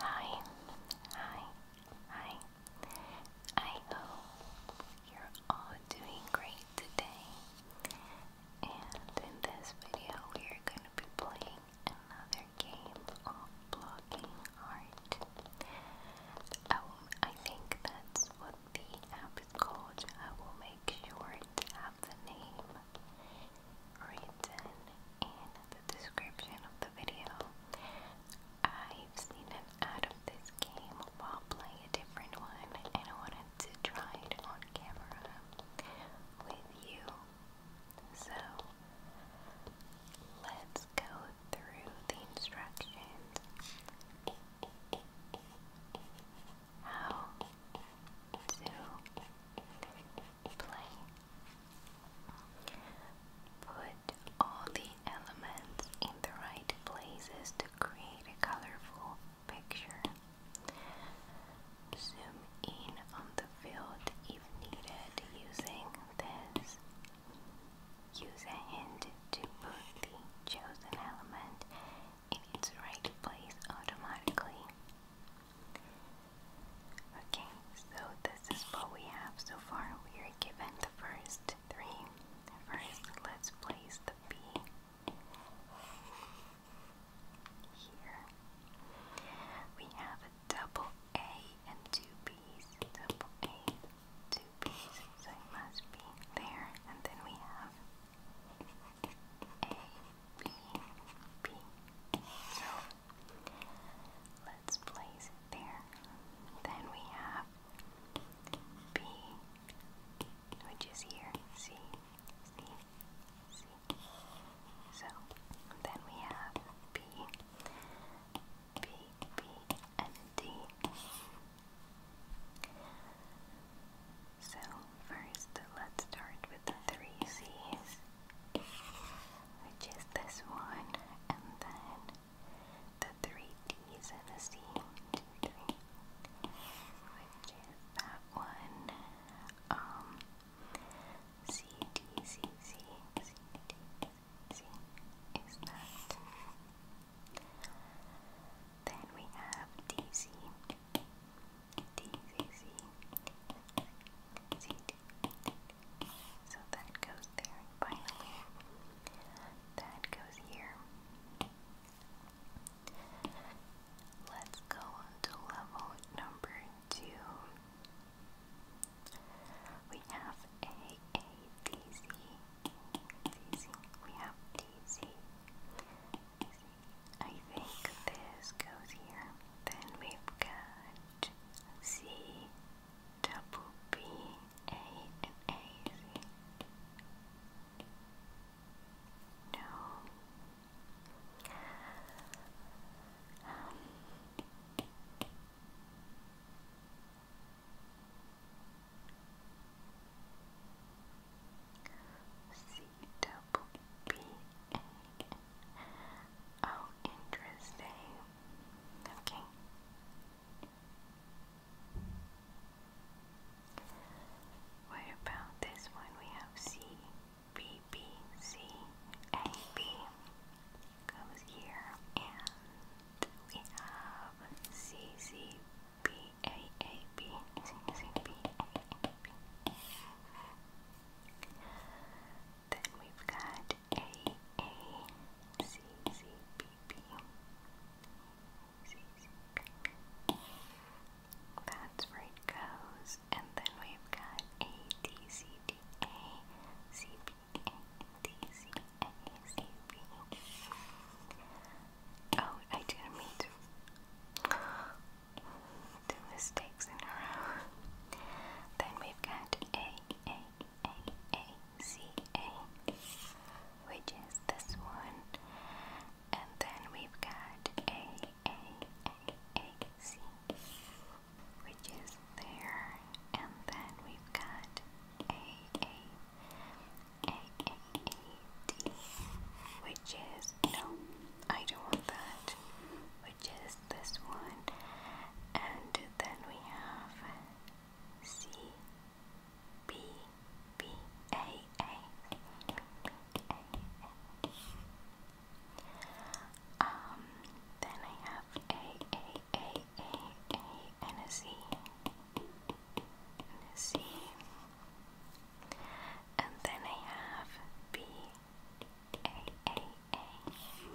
Hi, hi, hi. I hope you're all doing great today. And in this video, we are going to be playing another game of blocking art. I think that's what the app is called. I will make sure to have the name written in the description of the video. I've seen an ad of this game while playing a different one and I wanted to try it on camera with you. So let's go through the instructions. How to play. Put all the elements in the right places to create a colorful picture. Zoom in on the field if needed using this. Use a hand to put the chosen element in its right place automatically. Okay, so this is what we have so far. We are given the first three. First, let's place the B here. We have a double A and two B's. Double A, two B's, so it must be there. And then we have A, B, B. So Let's place it there. Then we have B, which is here. C, C, C. So then we have B, B, B, and D. So first, let's start with the three C's which is this one, and then the three D's and a C, three, which is that one, um, C, D, C, C, C, D, C, is that. Then we have D, C, D, C, C, C, D, D, so that goes there, finally, that goes here. Let's go to level number two. We have A, A, D, Z, D, Z. We have D, Z. I think this goes here. Then we've got H C double B A and A C. No. Um. C double B A. Oh, interesting. Okay. What about this one? We have C, B, B, C, A, B goes here, and we have C, C, B, A, A, B, C, C, B, A, A, B. Then we've got A A C C B B C C B B. That's where it goes. And then we've got A D C D A C B A D C A C B. Oh, I didn't Two mistakes in a row. Then we've got A, A, A, A, C, A, which is this one. And then we've got A, A, A, A, C, which is there. And then we've got A, A, A, A, A, D, which is, no, I don't want that, which is this one and then we have C B B A A Um then I have A A A A A and a C and a C and then I have B A A a,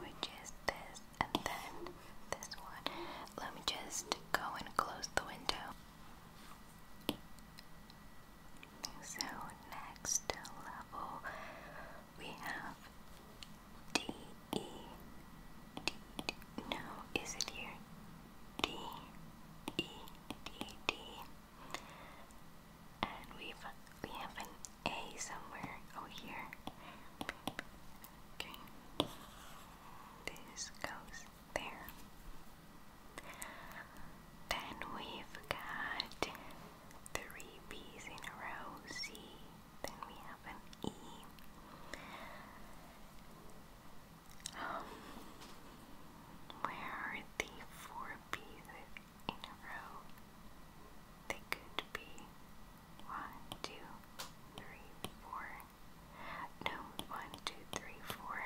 which is this, and then this one. Let me just go and close the window. So, next level we have D, E, D, D. No, is it here? D, E, D, D. And we've, we have an a somewhere. Oh, here. Okay. This goes there. Then we've got three B's in a row. C. Then we have an E. Um, where are the four B's? in a row. They could be one, two, three, four. No, one, two, three, four.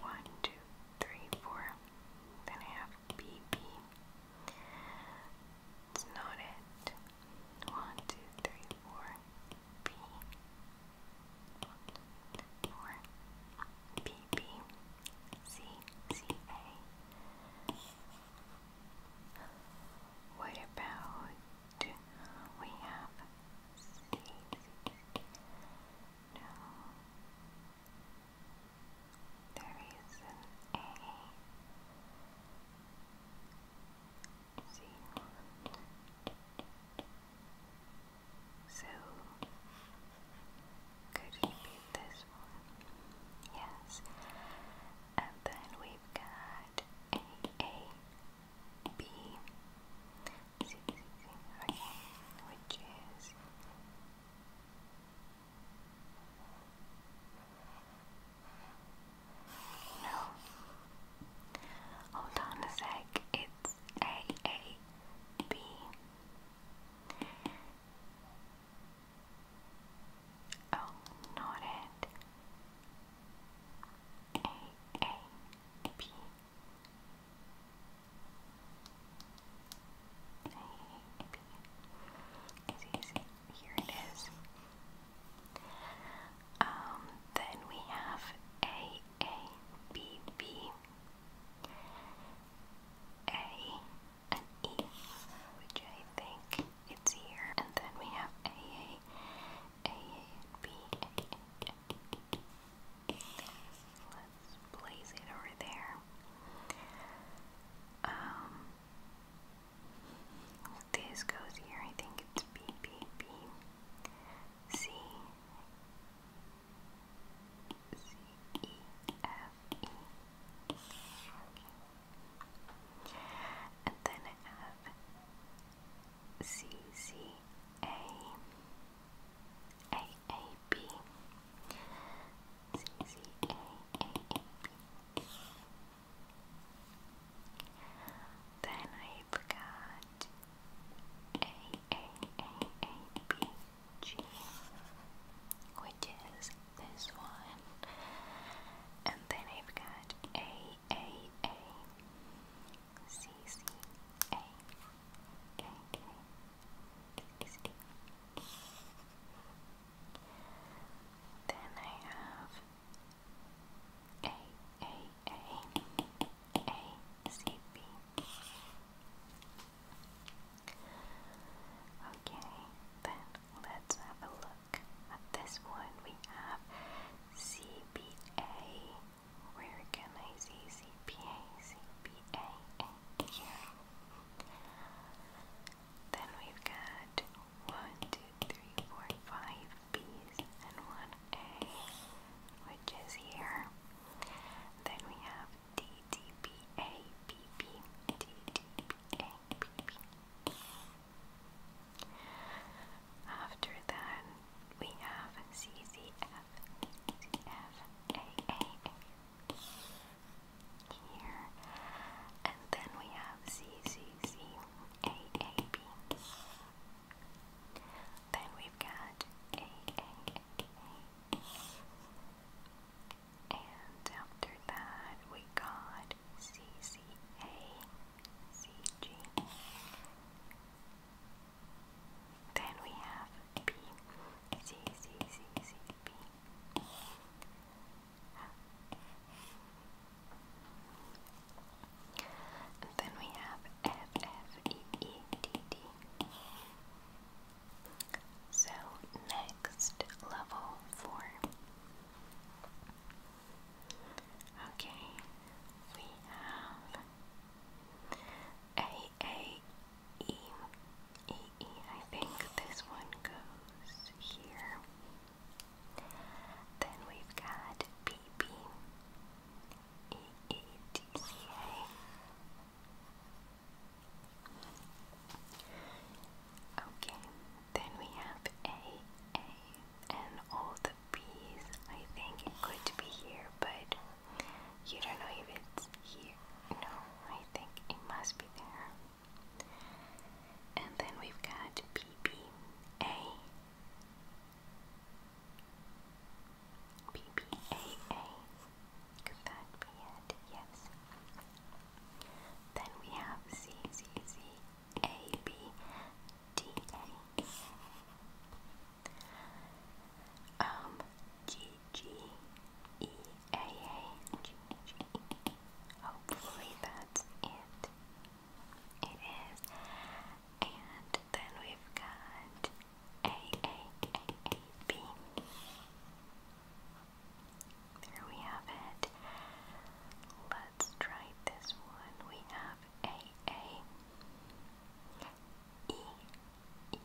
One, two, three, four. Then I have BB. It's not it. One, two, three, four. B. One, two, three, four. B B C C A what about we have seeds? No. There is an A. See. So could it be this one? Yes. And then we've got A, A, B, C, C, C. Okay, which is. No. Hold on a sec. It's A A B O oh, nodded. Here it is. Um then we have A A B B A an E, which I think it's here, and then we have AA, AA, B, AA, AA. Let's place it over there. Um, this goes here. I think it's B, B, B, C, C, E, F, E. Okay. And then I have C C A A A B C C A A A B. Then I've got A A A A B G, which is this one, and then I've got A A A C C A K K K C D. Then I have A A A A C B. Okay, then let's have a look at this one. We have CPA. Where can I see CPA? here. Then we've got one, two, three, four, five B's and one A, which is here. Then we have DDPA, after that, we have CCF, here, and then we have CCCAAB. Then we've got AAA. And after that, we got CCA, Then we have B, C, C, C, C, B. then we have F, F, E, E, D, D. So next level four. Okay, we have A A E E E. I think this one goes here. Then we've got B B E E D C A. Okay, then we have A, A, and all the B's. I think it could be here, but you don't know if it's here. No, I think it must be there. And then we've got B, B, A. B, B, A, A. Could that be it? Yes. Then we have C, C, C, A, B, D, A. Um, G, G, E, A, A, G, G, E. Hopefully that's it. It is. And then we've got A, A, A, A, B. There we have it. Let's try this one. We have A A E E.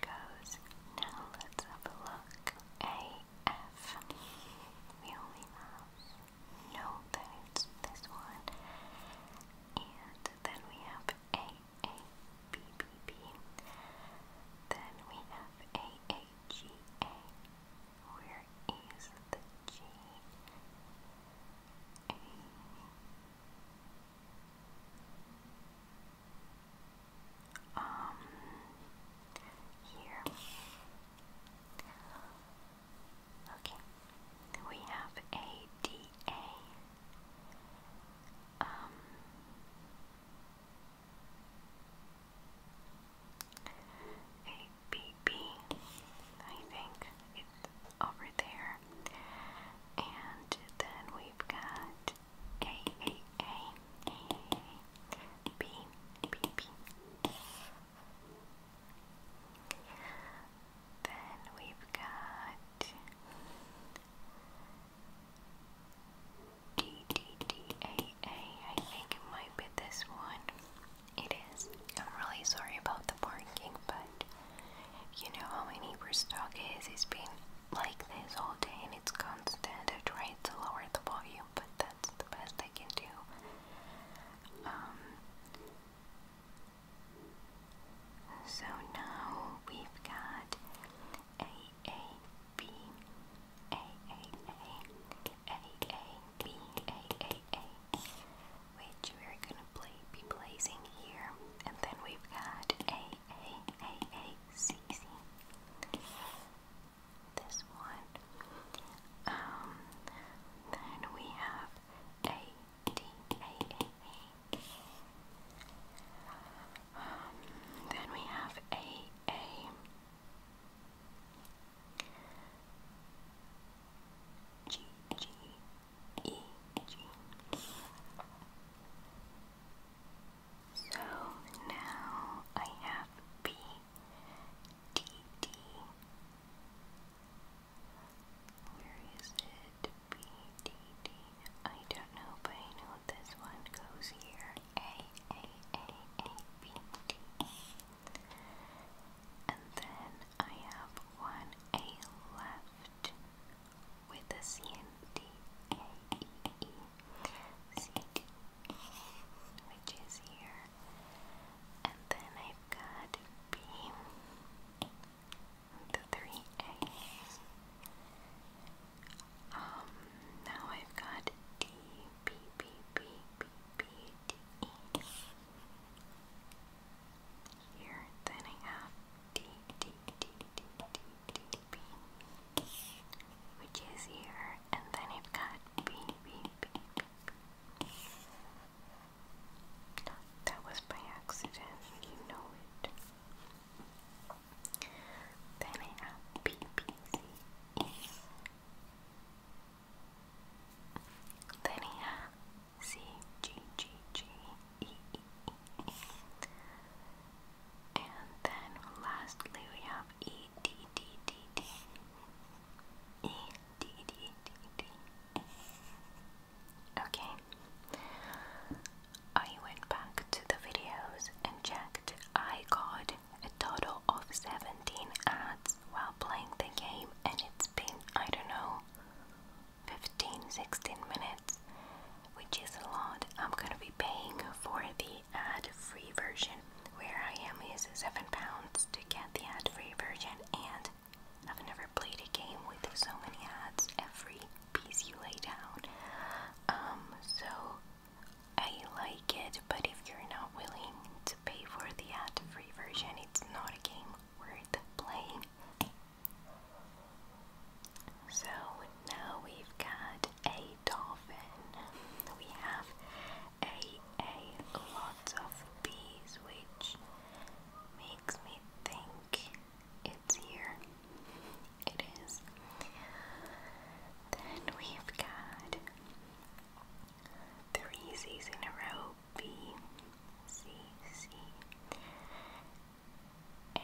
goes. Now let's have a look. A F. We only now know that it's this one. And then we have A, A, B, B, B. Then we have A, A, G, A. Where is the G? A um, here. Okay, we have a Um, a think it's over there, and then we've got a A A A A B B B. Then we've got D D D A A. I think it might be this one. It is. I'm really sorry about the parking, but you know how my neighbor's dog is. it has been like this all day and it's constant. I am trying to lower the volume but that's the best I can do. so now we've got A A B A A A A A B A A A, which we're gonna be placing here, and then we've got A A A A C C this one. Um, then we have A D A A A. Um, then we have A A. G G E G so now I have B D D. Where is it? B D D. I don't know, but I know this one goes here. A A A A B D. And then I have one A left with a C seat, which is here, and then I've got B, the three A's. Um, now I've got D, B, B, B, B, B, D, E. Here, then I have D, D, D, D, which is here, and then it got B, B, B, That was by accident, you know it. Then I have B, B, C, E. Then I have C, G, G, G, E, E, E, E. And then lastly we have E, D D D D E D D D D. Okay. I went back to the videos and checked. I got a total of 17 ads while playing the game, and it's been, I don't know, 15 16 minutes, which is a lot. I'm gonna be paying for the ad free version. Where I am is seven pounds to get the ad free version, and I've never played a game with so many ads every piece you lay down. Um, so I like it, but if you're not willing to pay for the ad free version, it's not a game worth playing. So now we've got a dolphin. We have a a lot of bees, which makes me think it's here. It is. Then we've got three C's in a row. B C C A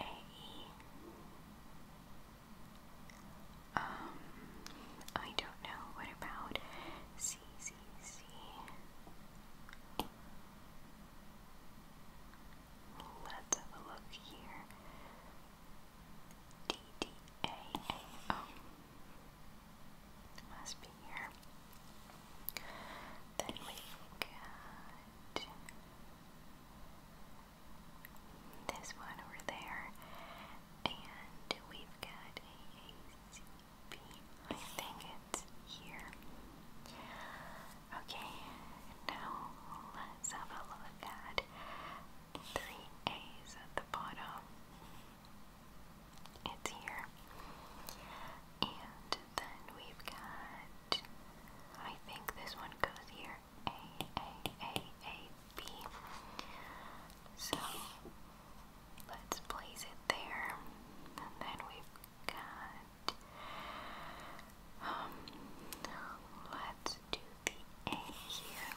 um, I don't know. What about C, C, C? Let's have a look here. D, D, A, A, O. Oh, must be here. Then we got this one over there, and we've got a think it's here. Okay, now let's have a look at three A's at the bottom. It's here. And then we've got, I think this one goes here. A A A A B. So let's place it there. And then we've got um let's do the A here.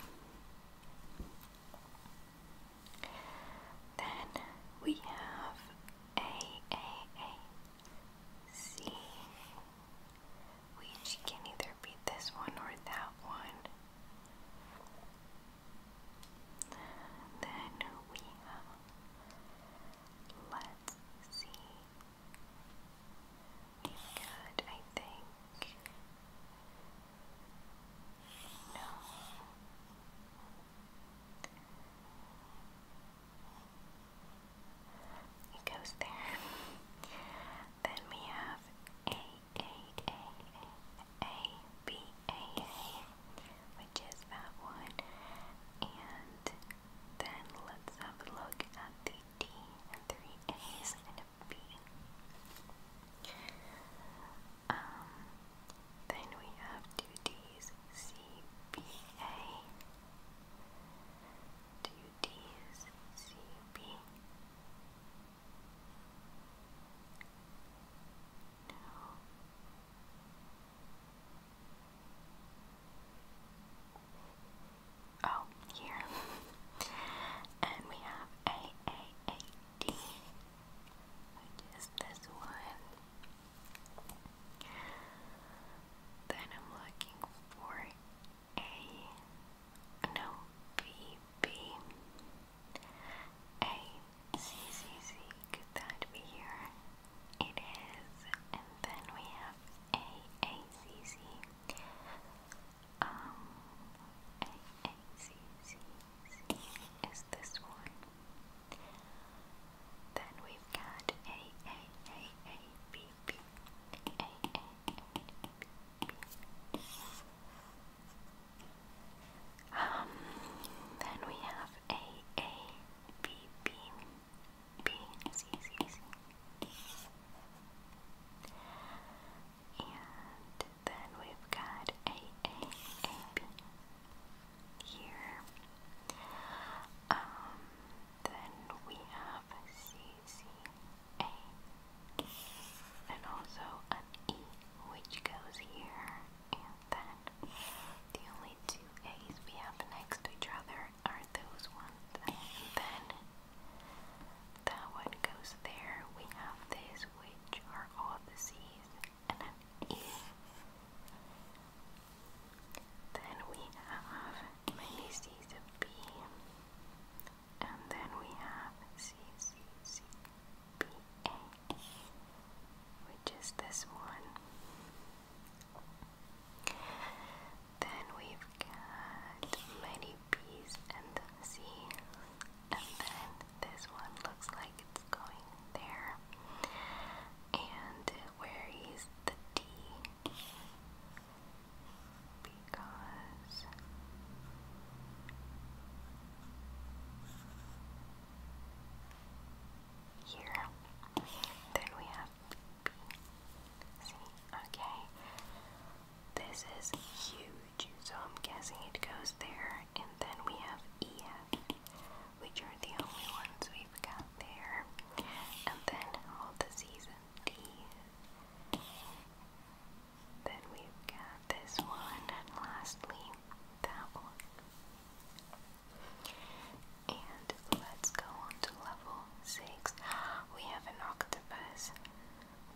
Then we have A A A C which can either beat this one or that one. Then we have uh, let's see. We good, I think. No. It goes there. then we have A a A A A B A A, which is that one. And then let's have a look at the D three A's and a B. Um, then we have two D's, C B A. Two D's, C B. No. Oh, here. and we have A A A D, which this one. Then I'm looking for a no B B A C C C could that be here? It is and then we have A A C C um A A C C C is this one. Then we've got A A A A B B A A um, then we have A, A, B, B, B, C, C, C. And then we've got A, A, A, B here. Um, then we have C, C, A, and also an E which goes here and then the only two A's we have next to each other are those ones and then that one goes there. We have this which are all the C's and an E. Then we have many C's of B and then we have C C C B A, which is this one. Then we've got many B's and the and then this one looks like it's going there. And where is the D? B here, then we have B, C, okay, this is huge, so I'm guessing it goes there, and then we have EF, which are the only ones we've got there, and then all of the C's D. Then we've got this one, lastly, that one. And let's go on to level 6. We have an octopus.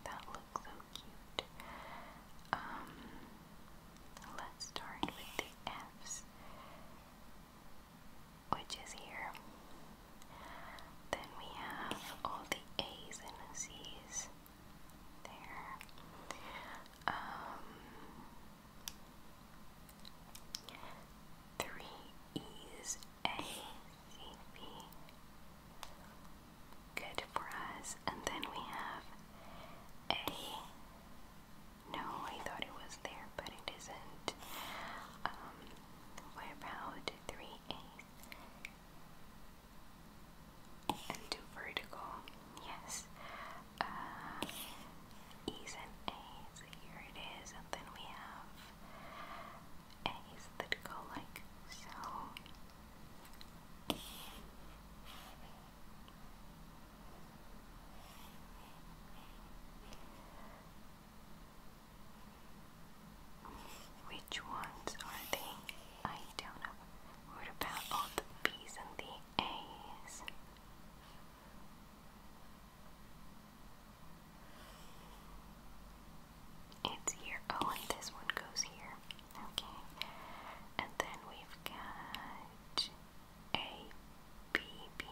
That looks so cute. Um, let's start with the F's, which is here. Then we have all the A's and the C's there. Um, three E's A C B. Good for us. And then we have A. No, I thought it was there, but it isn't. Um, what about three A's? and vertical. Yes. Uh, e's and A's. Here it is. then we have A's that go like so. Which ones are they? I don't know. What about all the B's and the A's? It's here. Oh, and this one goes here. Okay. And then we've got A, B, B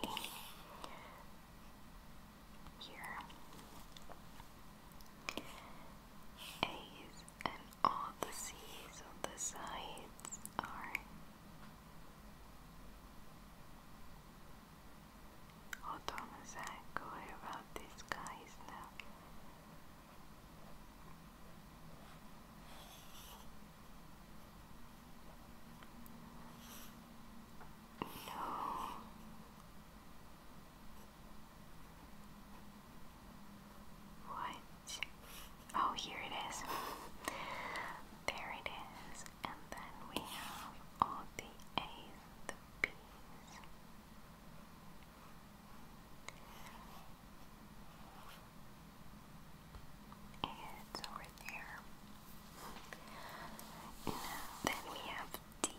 here. A and all the seas on the sides are Hold on a sec, what about these guys now? No. What? Oh, here it is. there it is. And then we have all the A's, the B's. It's over there. Now, then we have D,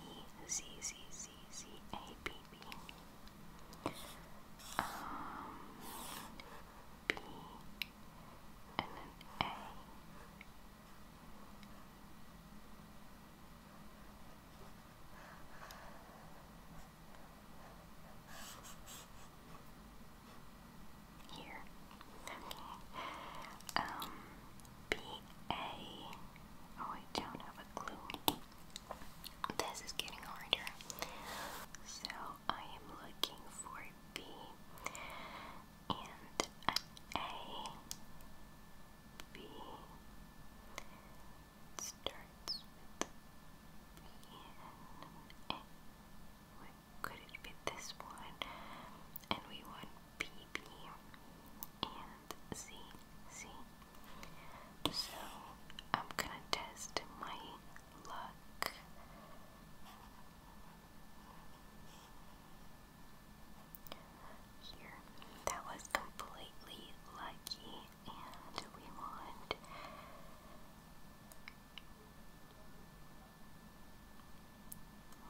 Z, Z, Z, Z, A, B, baby. Um, B and an A. Here. Okay. Um, B A. Oh, I don't have a clue. This is getting harder. So I am looking for B and A. B starts B Could it be this one? And we want B, B and C, C. So I'm gonna test my luck. Here, that was completely lucky, and we want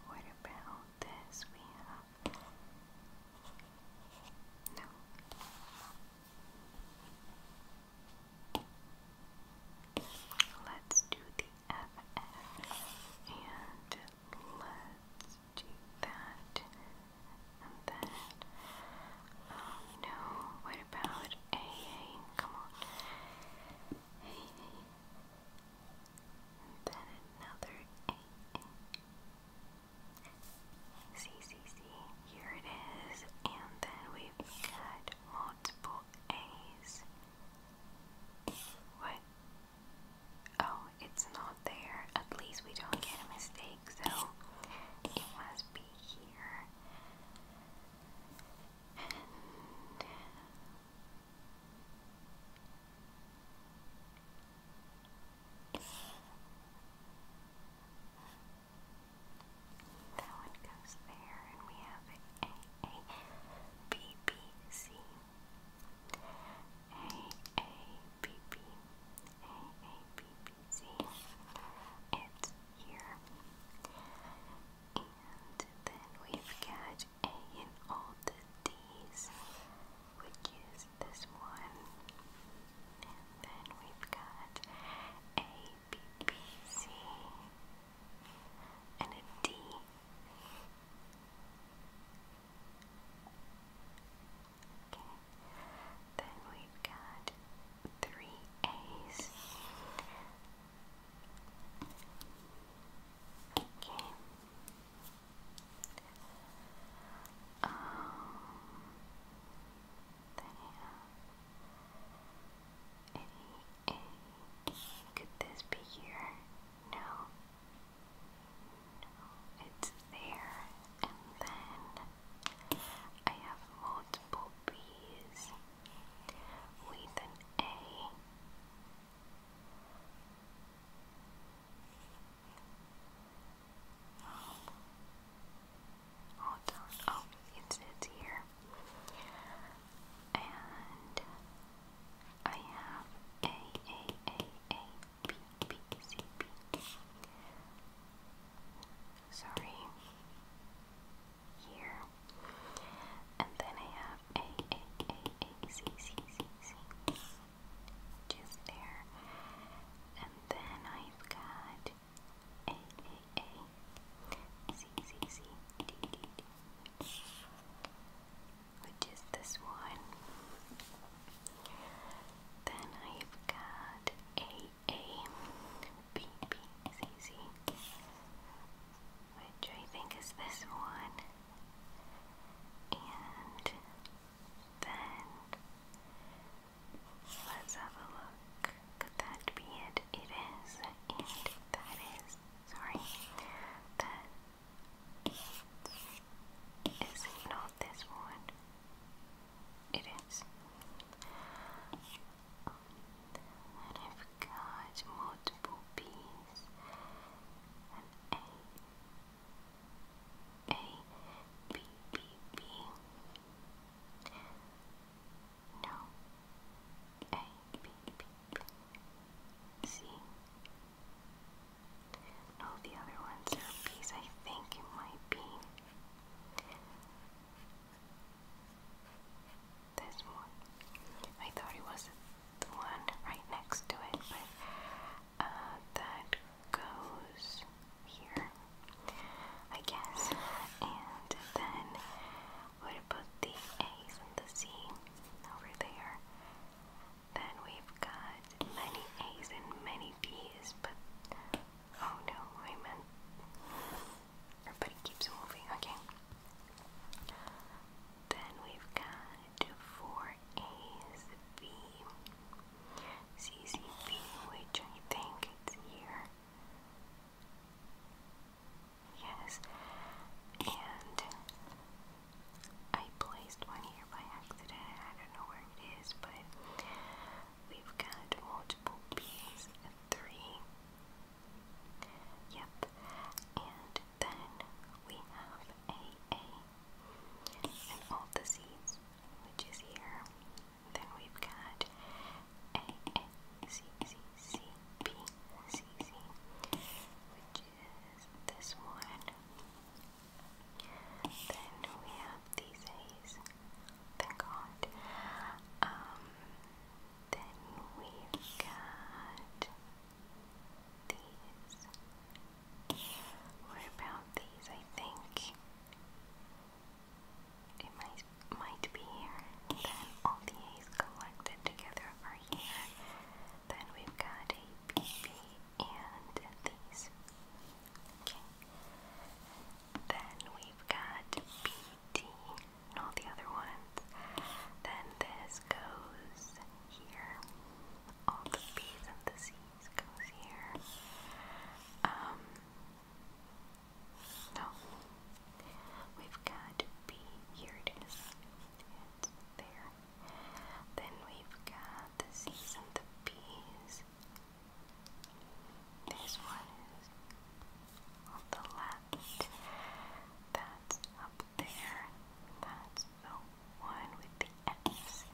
what about this? We have no, Let's do the FF and let's do that and then oh no, what about AA? Come on. AA and then another AA. C C C. here it is, and then we've got multiple A's. What? Oh, it's not there. At least we don't get a mistake, so it must be here. And that one goes there, and we have A A B B C A A B B A A B B C. It's here, and then we've got A in all the D's, which is this one. then we've got a B, B, C, and a D. Okay. Then we've got three A's. Okay. Um, any, any, could this be here? No. No, it's there. And then I have multiple B's with an A all done. Oh, it's, it's here. And I have A, A, A, A, B, B, C, B. Sorry. Here. And then I have A, A, A, A, C, C, C, C. Just there. And then I've got a, A, A. Easy, easy, easy. D, D, D. Which is this one. Then I've got A, A. B, B is easy. Which I think is this one. And then Let's have a look. Could that be it? It is. And that is. Sorry. That is not this one. It is. I've got multiple B's. An A. A. B. B. B. No. A, B, B, B. C. No, the other ones are B's. think it might be this one. I thought it was the one right next to it, but uh, that goes here, I guess. And then we'll the A's and the C over there. Then we've got many A's and many B's, but oh no, I meant everybody keeps moving, okay. Then we've got four A's, B, C, C, B, which I think it's here. Yes, and I placed one here by accident. I don't know where it is, but we've got multiple B's at three. Yep, and then we have a A and all the C's, which is here. Then we've got A, A, C, C, C, B, C, C, which is this one. Then we have these thank God. Um, then we've got these. What about these? I think it might might be here. Then all the A's collected together are here. Then we've got a and these. Okay. Then we've got BD and all the other ones. Then this goes here. All the B's and the C's goes here. Um, so, we've got B, here it is, it's there. Then we've got the C's and the B's. This one on the left, that's up there, that's the one with the F's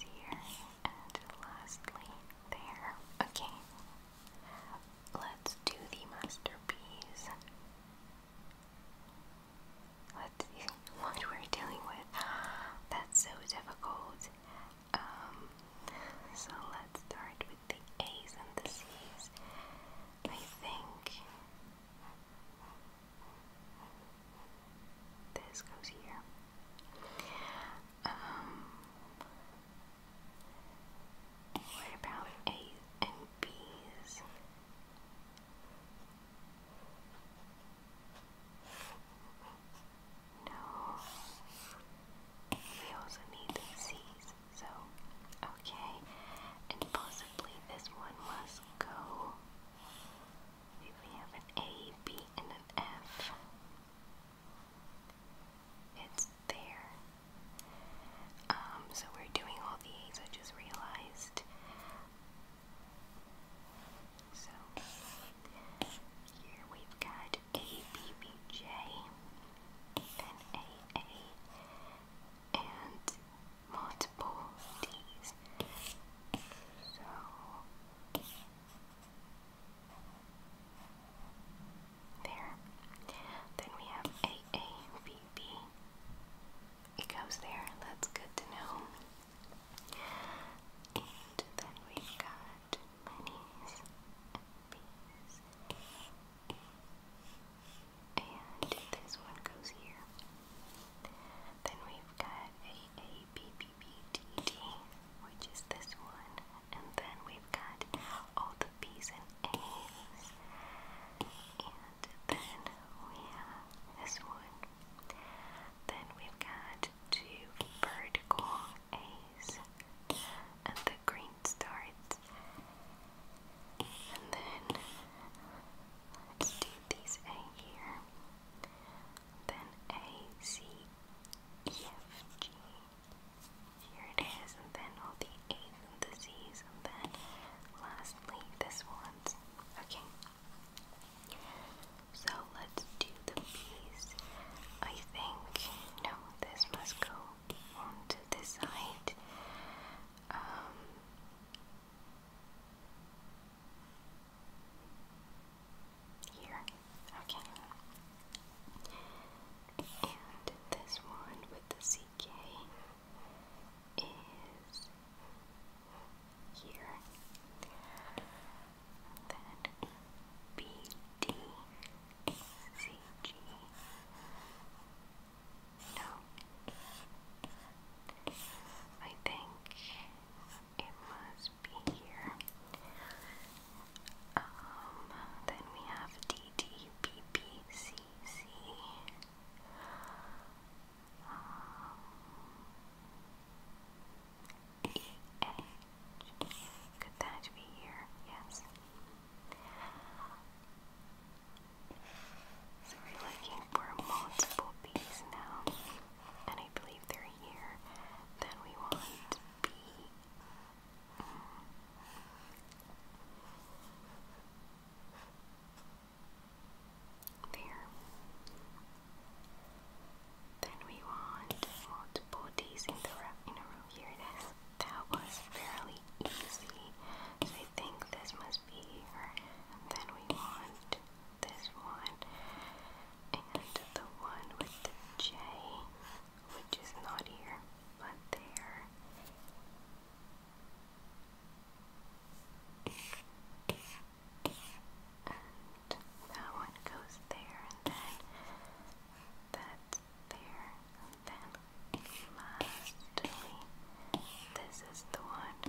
here, and lastly there. Okay, let's do the masterpiece. Let's see what we're dealing with. That's so difficult. Um, so let's start with the A's and the C's. I think this goes here what about A's and B's? No. We also need C's, so okay. And possibly this one must go. We have an A, B, and an F. It's there. Um, so we're doing all these, I just realized. So here we've got a BBJ and AA and multiple D's. So there. Then we have AABB. It goes there. That's good to know. And then we got pennies, bees, and this one goes here. Then we've got a a B, B, B, D, D, which is this one, and then we've got all the B's and A's, and then we have this one. Then we've got two vertical A's, and the green starts. And then let's do these A here. Then A, C, E, F, G, here it is, and then all the A's and and then lastly this one's. Okay. So let's do the B's. I think, no, this must go onto this side. Um, here, okay. And this one with the CK is here. Then B D C G. No. I think it must be here. Um, then we have DDPPCC. Um, EH. Could be here? Yes. So we're looking for multiple B's now, and I believe they're here. Then we want B, there. Then we want multiple days in the row in a row here. That was fairly easy. I think this must be then we want this one and the one with the J which is not here, but there. that one goes there, and then that's there, then lastly, this is the one.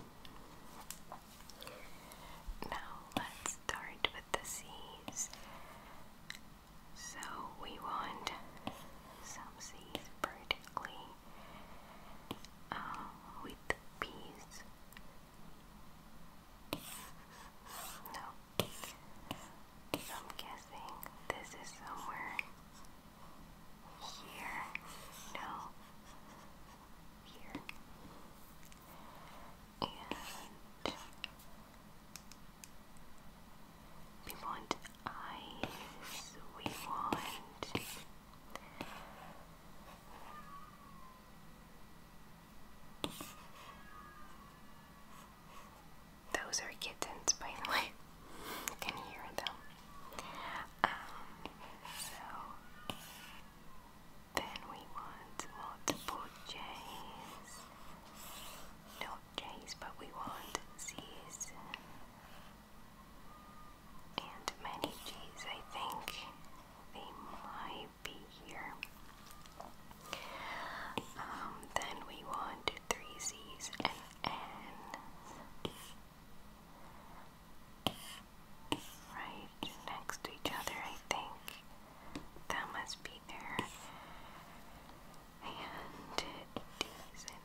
Now let's start with the C's. So we want some seeds vertically uh, with peas. No, I'm guessing this is somewhere here. No, here we want eyes, we want those are kittens, by the way. can hear them. Um, so then we want multiple J's not J's, but we want C's and many G's. I think they might be here. Um, then we want three C's and N's right next to each other, I think. That must be there. And decent.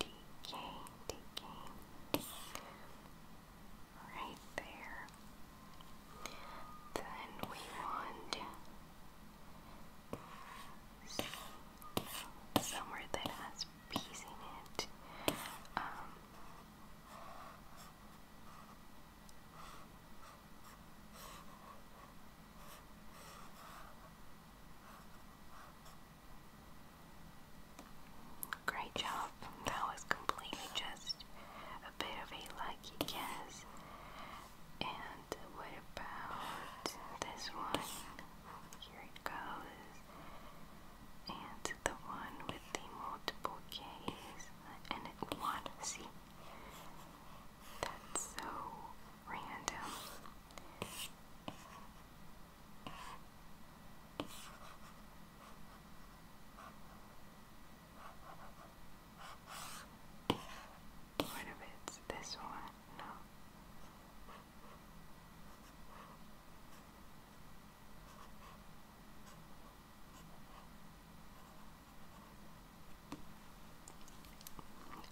DK, DK. Right there. Then we want somewhere that has peas in it. Um, Great job. That was completely just a bit of a lucky guess. And what about this one? Here it goes. And the one with the multiple K's and it See? That's so random. What if it's this one? No.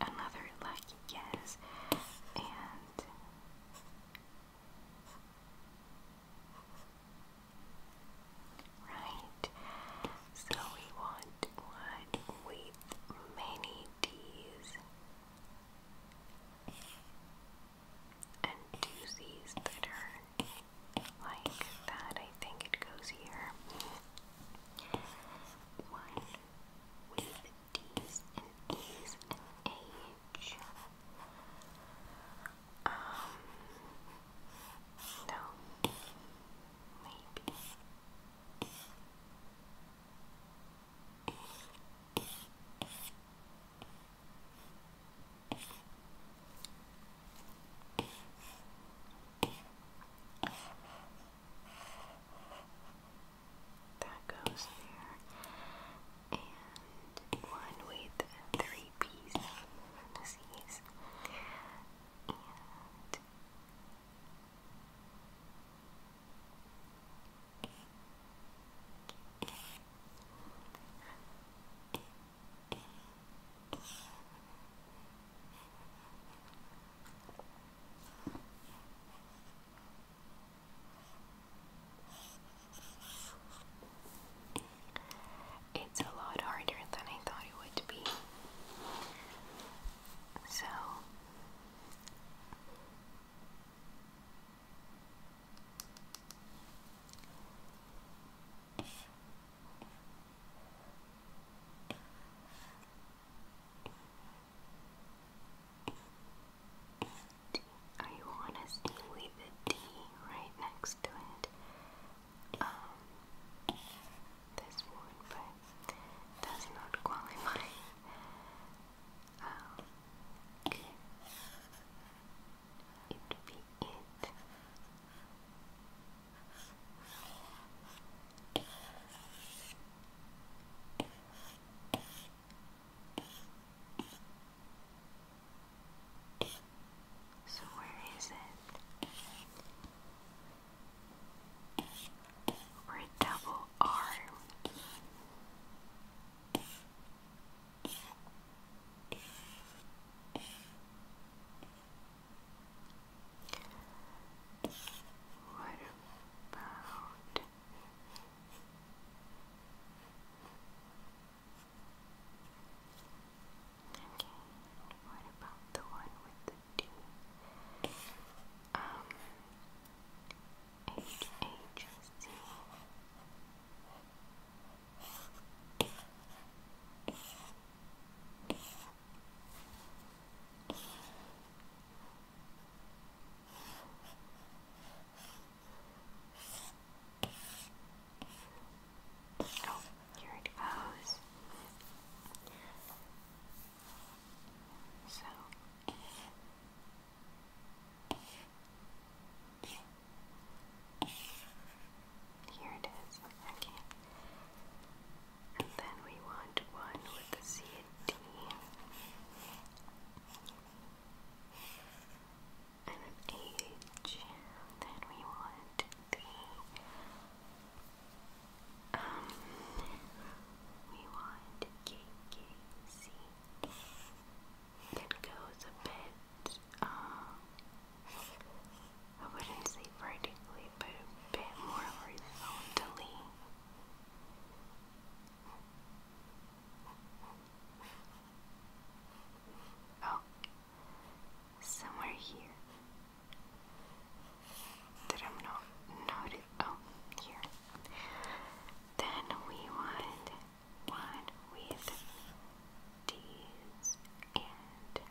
Another lucky guess, and right, so we want one with many D's and two that are like that. I think it goes here. One with D's and E's and H. Um, no, maybe. That goes there. And one with three P's in parentheses. And it's a lot harder than I thought it would be. So, I want to see the D right next to it. Um, this one, but does not qualify. Um, oh, okay. be it. So, where is it? we double arm. What about Okay, what about the one with the D? Um H H C Oh, here it goes. So here it is. Okay. And then we want one with the C and D. And an then we want the um we want K K C. It goes a bit um I wouldn't say vertically, but a bit more horizontally. Oh, somewhere here that I'm not noted. Oh, here. Then we want one with these and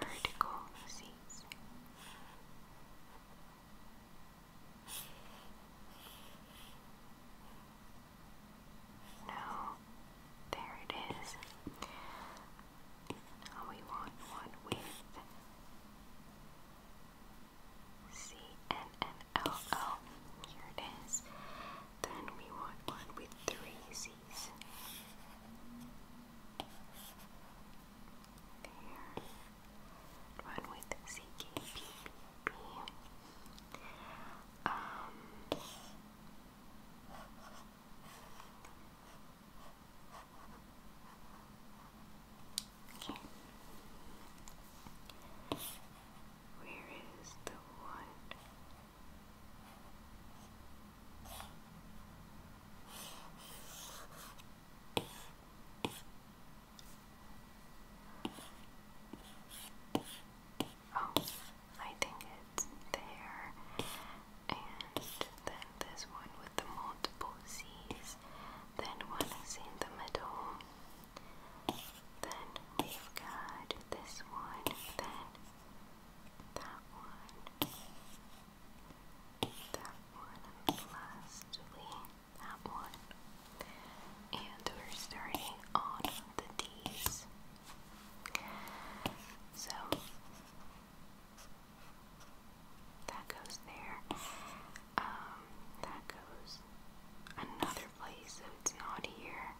vertical seas. No, there it is. we want one with C N N L L. Here it is. Then we want one with three C these. There. with CKPPP. Um, okay. Where is the one? Oh, I think it's there. And then this one with the multiple C's. Then one is in the middle. Then we've got this one. Then that one, that one, lastly that one. And we're starting on the D's. So that goes there. Um, that goes another place, so it's not here.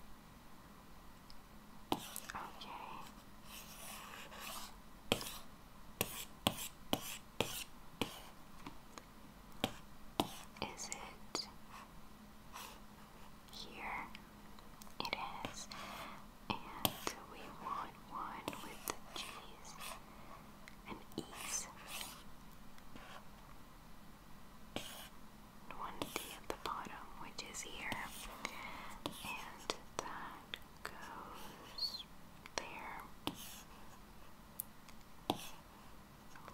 Okay. Is it here? It is. And we want one with cheese and ease one at the bottom, which is here, and that goes there.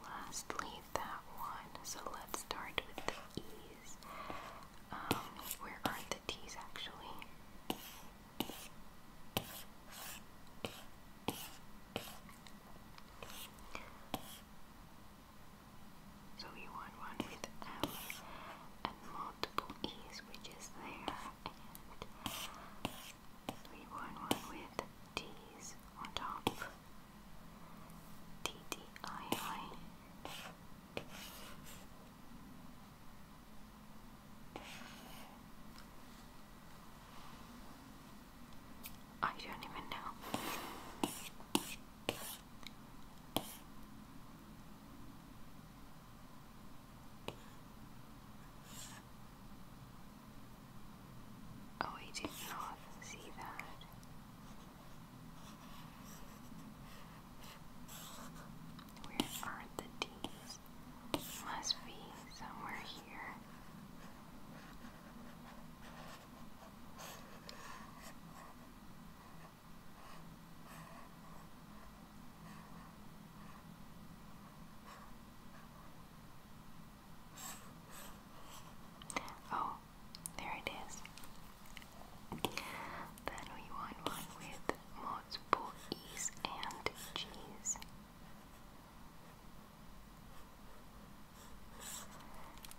Lastly, that one. So let's start with the E's. Um, where are the T's actually? So you want one with L and multiple E's, which is there, and we want one with T's on top. T T I I. I don't even know. Oh, I did not see that. Where are the D's? Must be somewhere here. Oh, there it is. Then we want one with multiple E's and G's.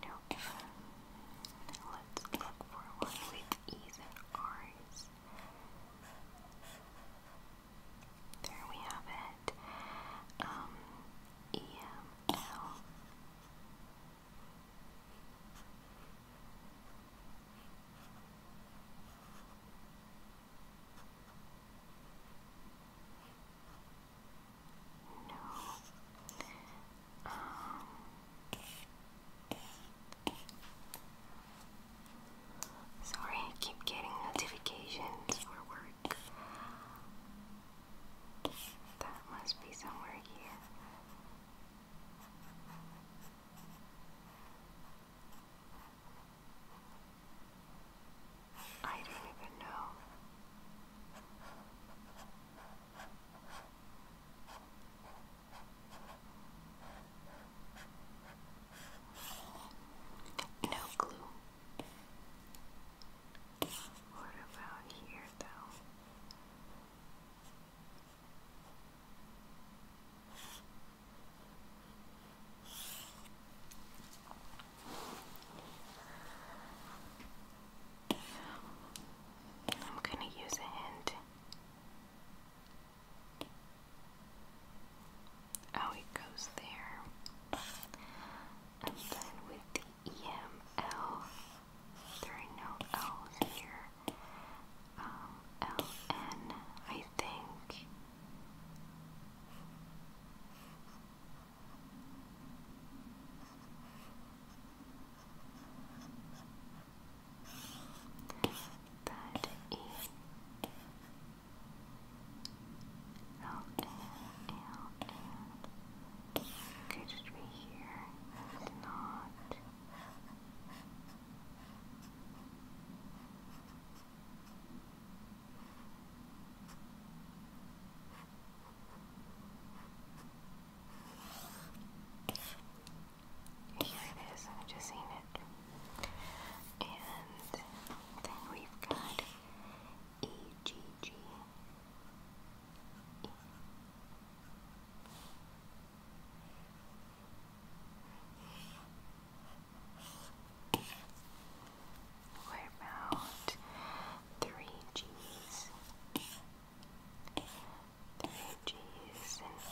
No, let's look for one with E's and There we have it. Um, EML. No sorry, keep getting notifications for work. That must be somewhere here. I don't even know. No glue. What about here, though? I'm going to use a hint Oh, it goes there. And then with the EML, there are no L's here. Um, LN, I think that E L N L N could it be here? not. Here it is, I've just seen it. And then we've got EGG. E. What about three G's? G is Oh,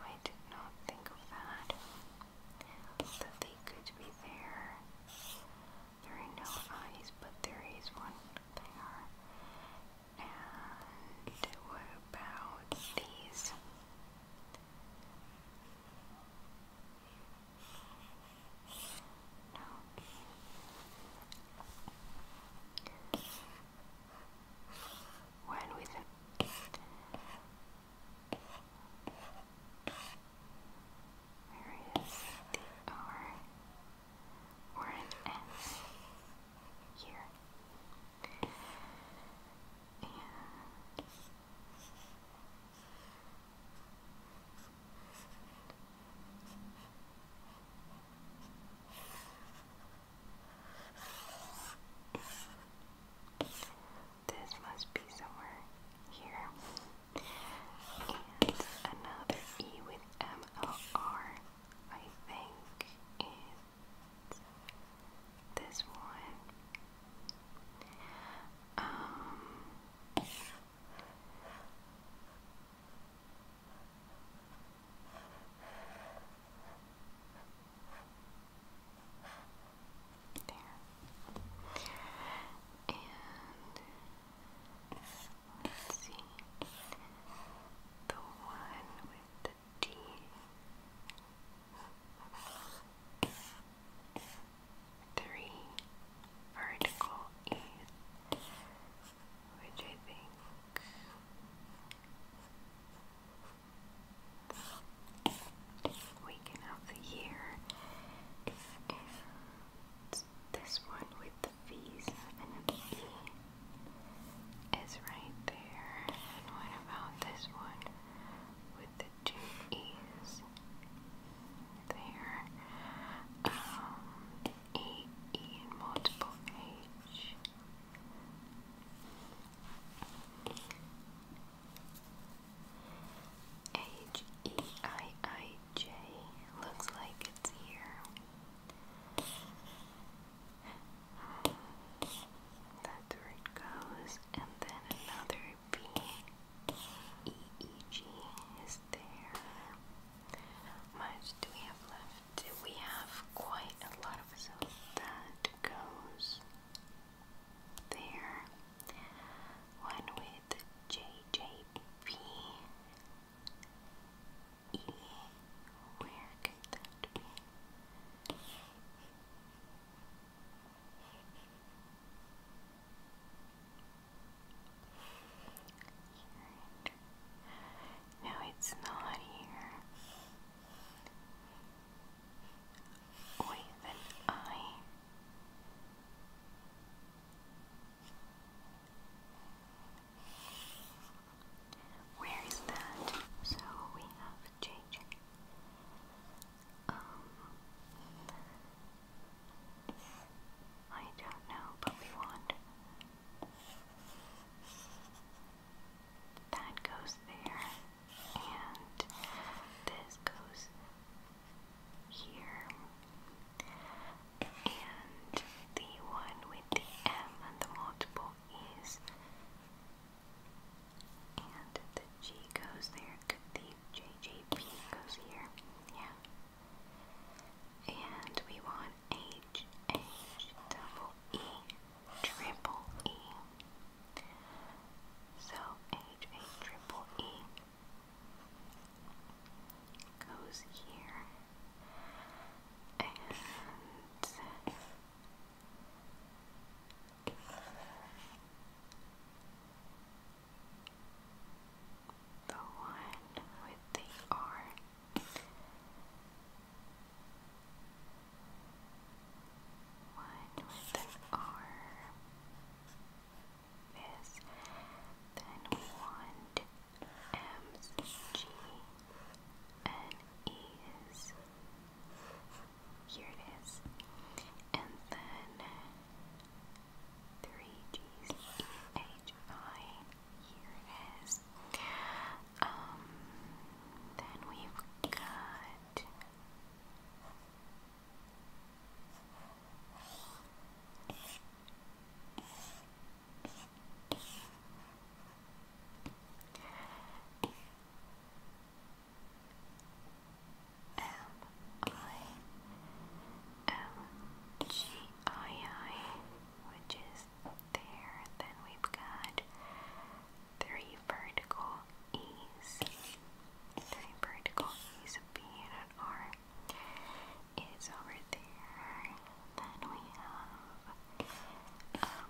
I did not think of that. That they could be there. There are no eyes, but there is one there. And what about these? When with an R or an S here? And this must be somewhere here. another E with MLR, think, is this one. Um, there. And let's see. The one with the D three vertical E, which I think we can the year this one with the V's and an E is right there. And what about this one with the two E's there. Um, E, E and multiple H. H E I I J looks like it's here. That's where goes, and then another B E E G is there. How much do we have left? We have quite a lot of so that goes there. One with J J B E where could that be? No, it's not here. With an eye. Where is that? So we have to um, I don't know, but we want that goes there, and this goes here, and the one with the M and the multiple is. And the G goes there. Could the JJP goes here. Yeah. And we want H, H, double E, triple E. So H, H, triple E goes here. And the one with the R. One with the R. This. Then we want M's, G, and Here it is. And then three G's Here it is. Um, then we've got M I M G I I, which is there. Then we've got three vertical E's. Three vertical E's, a B is over there. Then we have um,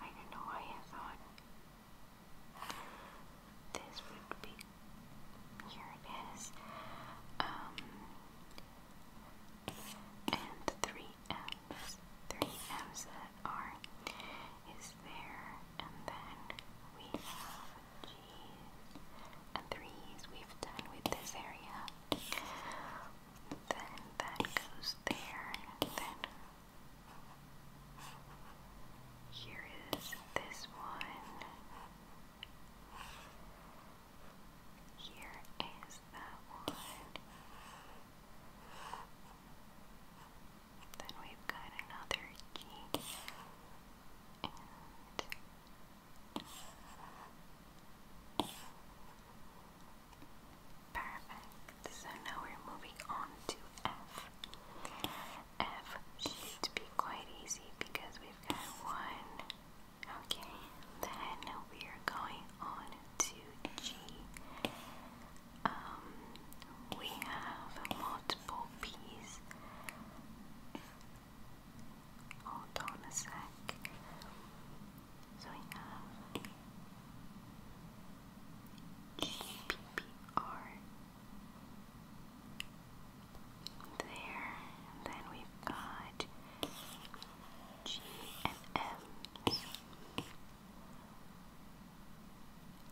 I don't know why I thought this would be. Here it is. Um, and three M's. Three M's are is there, and then we have G's and threes we've done with this area. Then that goes there, and then here is this one. Here is that one. Then we've got another key. Perfect. So now we're moving on to F. F should be quite easy because we've got one. Okay, then we are going on to G. Um, we have multiple P's. Hold on a sec. So we have GPR. There, and then we've got G and M,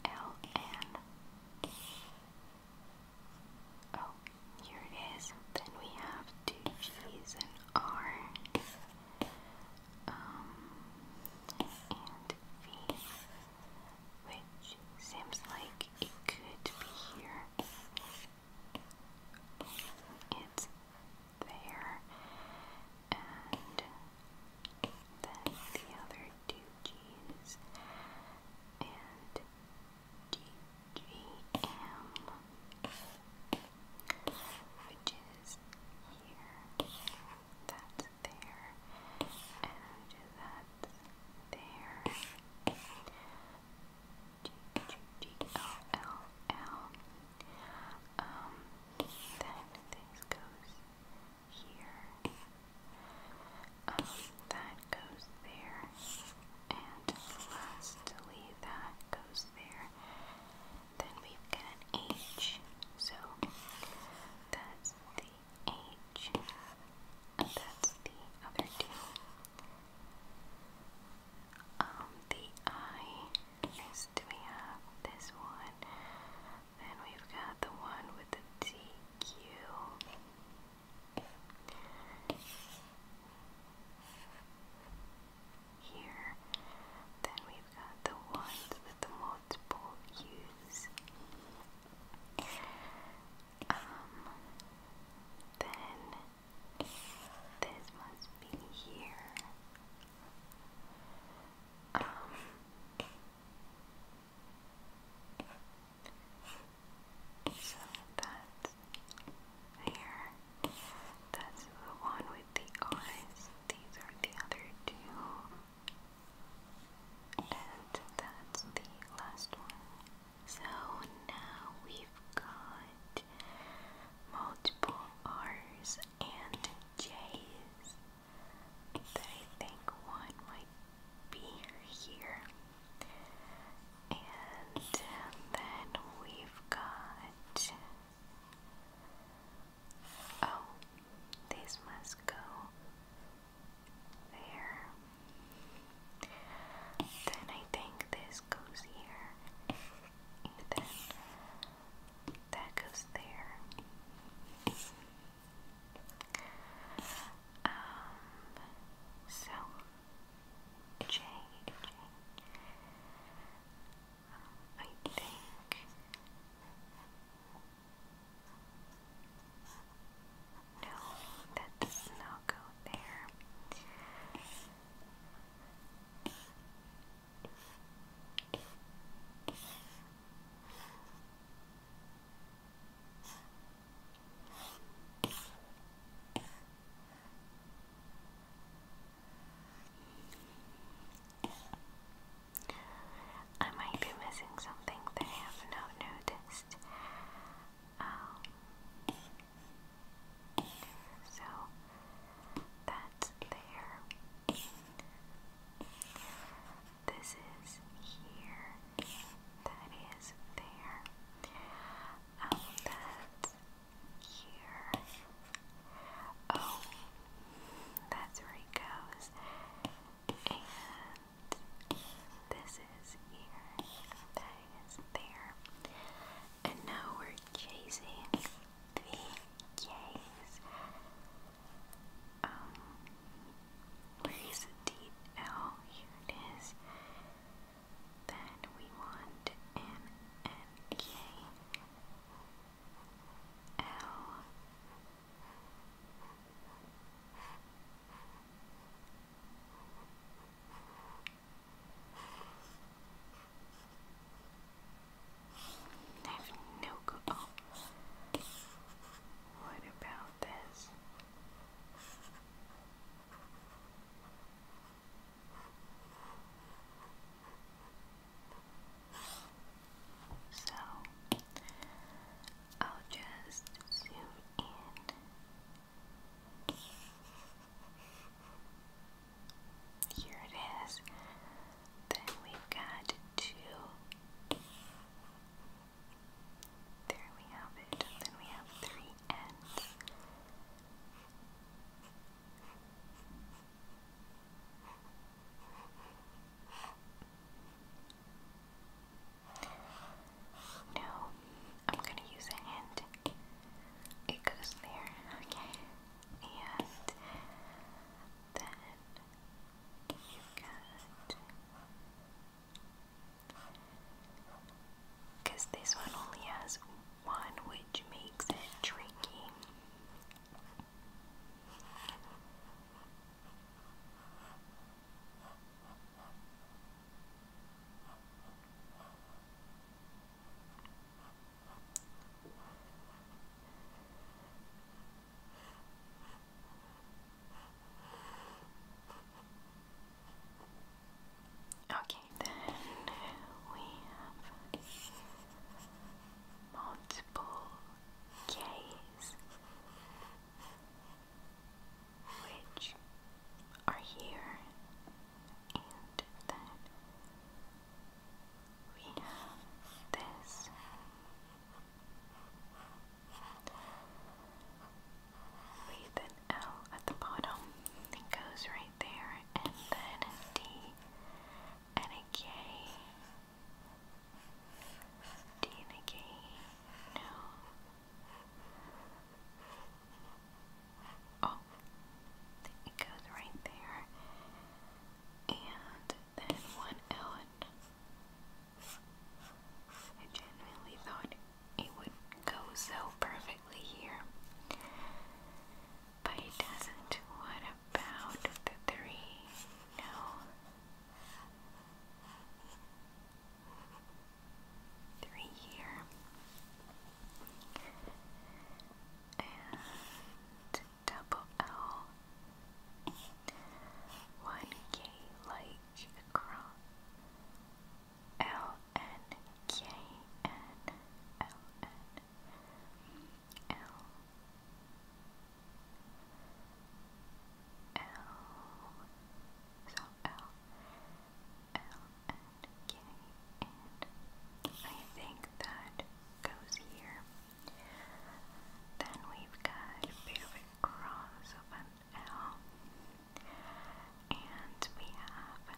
L and oh, here it is. Then we have two G's and R um, and V, which seems like it could be here. It's there, and then the other two G's and D G M, which is here. That's there, and that there. G G G L L L. Um, then this goes here. that goes there, and lastly that goes there, then we've got an H, so that's the H, and that's the other two. Um, the I is do we have this one? Then we've got the one with the TQ. Here, then we've are the ones with multiple hues. Um, then this must be here. Um, so that's there. That's the one with the eyes. These are the other two. And that's the last one. So now we've got multiple R's and J's that I think one might be here. And then we've got Oh, these must go there. Then I think this goes here. And then that goes there. Um, so, J. I think. No, that does not go there. I might be missing something I have not noticed. Um, so that's there. This is here. That is there. Um, that's here. Oh, that's where it goes this. And this is here. That is there. And now we're chasing the K's. Um, where is the here it is. Then we want M N K L I have no clue. What about this? So I'll just zoom in. Here it is. Then we've got two. There we have it. Then we have three ends. No, I'm gonna use a hint. It goes there, okay. And then you got because this one only has one, which makes it tricky. Okay, then we have multiple K's which are here and then we have this with an L at the bottom it goes right there and then a D and a K Dean again. No. Oh, it goes right there. And then one Ellen. genuinely thought it would go so perfectly here. But it doesn't. What about the three? No three here. And double L one K like across L N K N L N L L so L L and K and I think that goes here. Then we've got a bit of a cross of an L and we have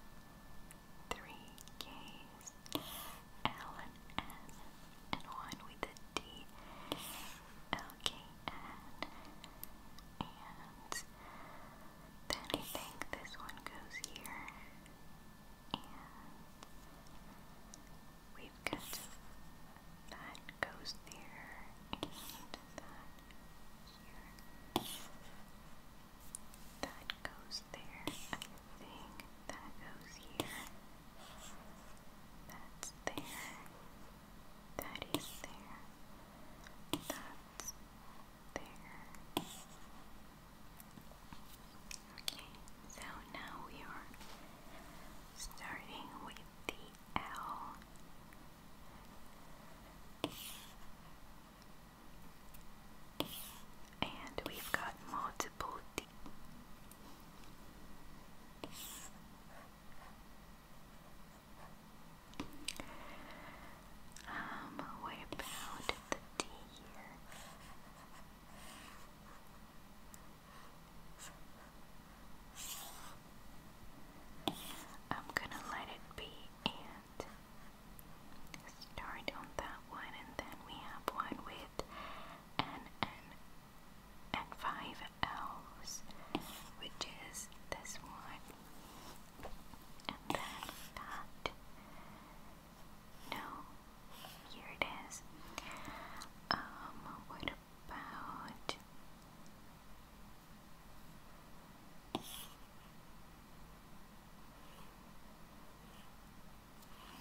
three K's L and N and one with a D. Okay, and and then think this one goes here, we've got that goes there, and that here. That goes there. I that goes here. That's there. That is there. That's there. Okay, so now we are starting with the L. And we've got multiple D. Um, what about the D am gonna let it be and start on that one, and then we have one with an N and five L's, which is this one, and then that. No, here it is. Um, what about?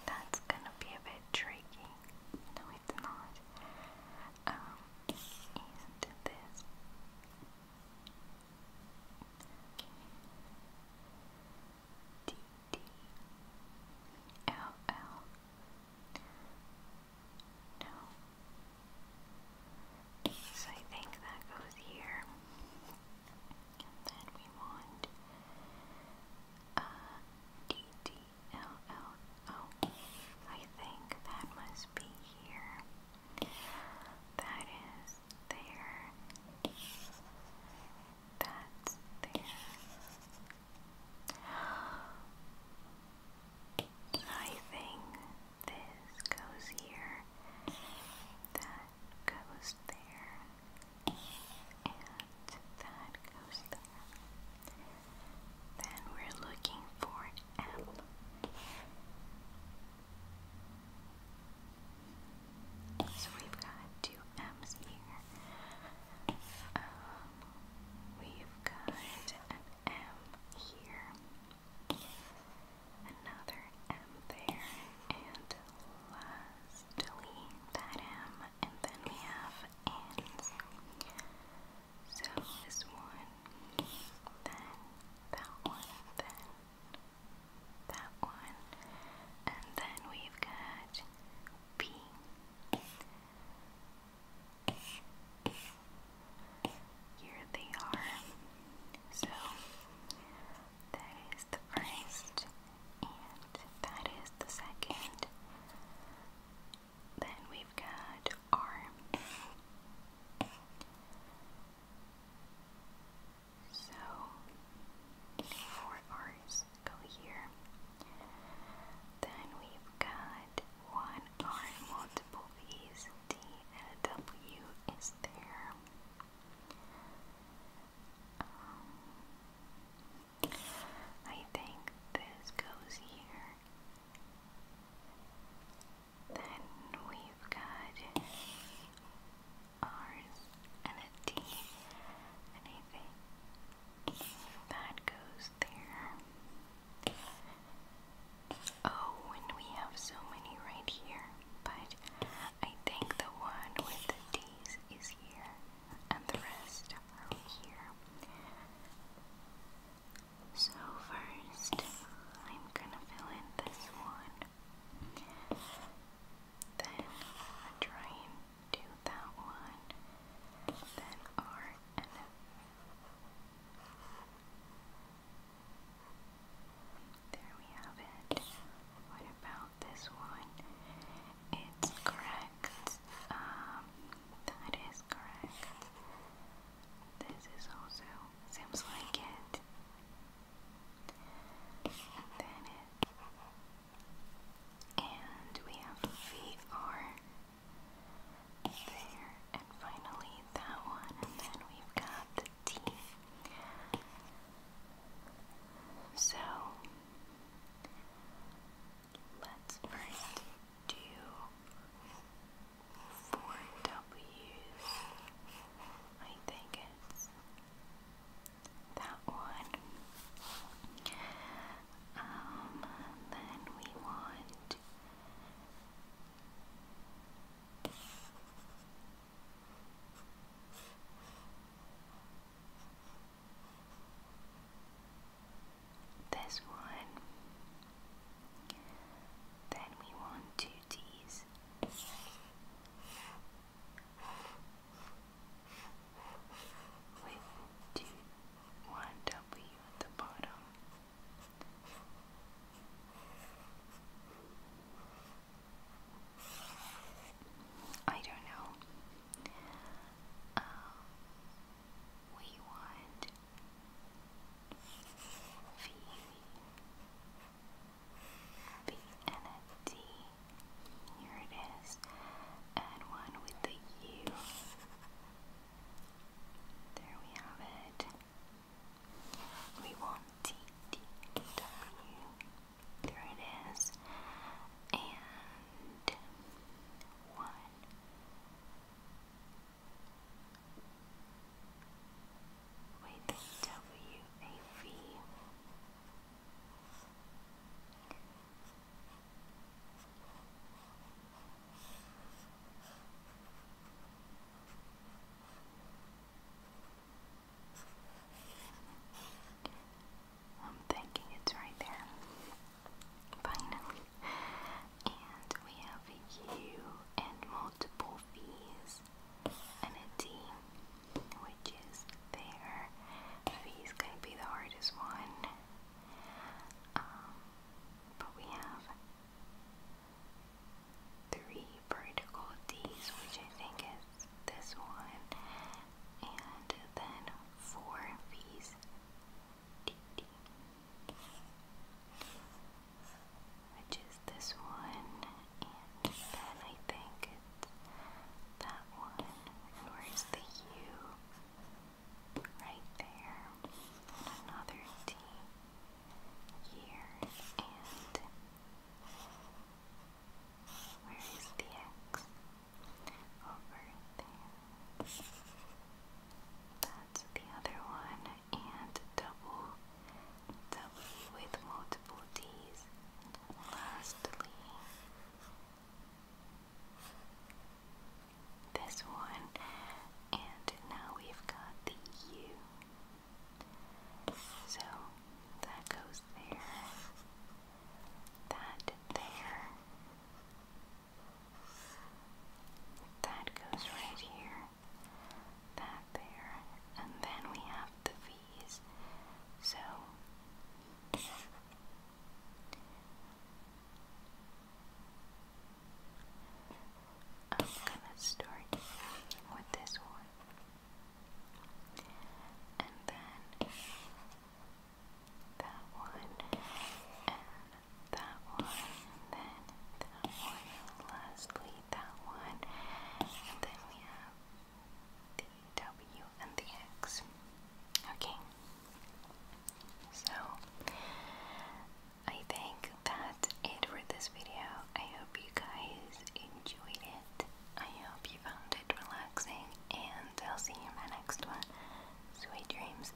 That's gonna be a bit tricky it's not. Um, and this. D D L L. No. So I think that goes here. And then we want uh, L L O. I think that must be here. That is there. That's there. I think this goes here. That goes there. And that goes there. Then we're looking for M. So we've got two M's here. Um, we've got an M here, another M there, and lastly that M, and then we have N's. So this one, then that one, then that one, and then we've got B. Here they are. So that is the first, and that is the second, then we've got R. So four R's go here. Then we've got one R multiple V's, D and a W is there. Um, I think this goes here then we've got R's and a D and That goes there. Oh, and we have so many right here, but I think the one with the D's is here, and the rest are here. So, first, I'm gonna fill in this one. Then, try and do that one. Then, R and There we have it. What about this one? It's correct. Um, that is correct. This is also seems like it. Then it. And we have VR there, and finally that one, and then we've got the teeth. So let's first do four W's. I think it's that one. Um, then we want this one. Then we want two T's. With two, one W at the bottom. I don't know. Um, we want V, V Here it is. And one with the U. There we have it. We want T, D, W. There it is. And one, with WAV. am thinking it's right there finally. And we have you and multiple fees and a which is there. Fee's gonna be the hardest one. Um, but we have three vertical D's, which I think is this one, and then four V's, which is this one, and then I think that one. where's the U? Right there. another D here, and where is the X? Over there. That the other one, and double, double with multiple D's. lastly, this one, and now we've got the U. So that goes there, that there, that goes right here, that there, and then we have the V's. So I'm gonna start with this one, and then that one, that one, and then that one, lastly that one, and then we have the W and the X. Okay, so I think that's it for this video. I hope you guys enjoyed it. I hope you found it relaxing, and I'll see you in my next one. Sweet dreams.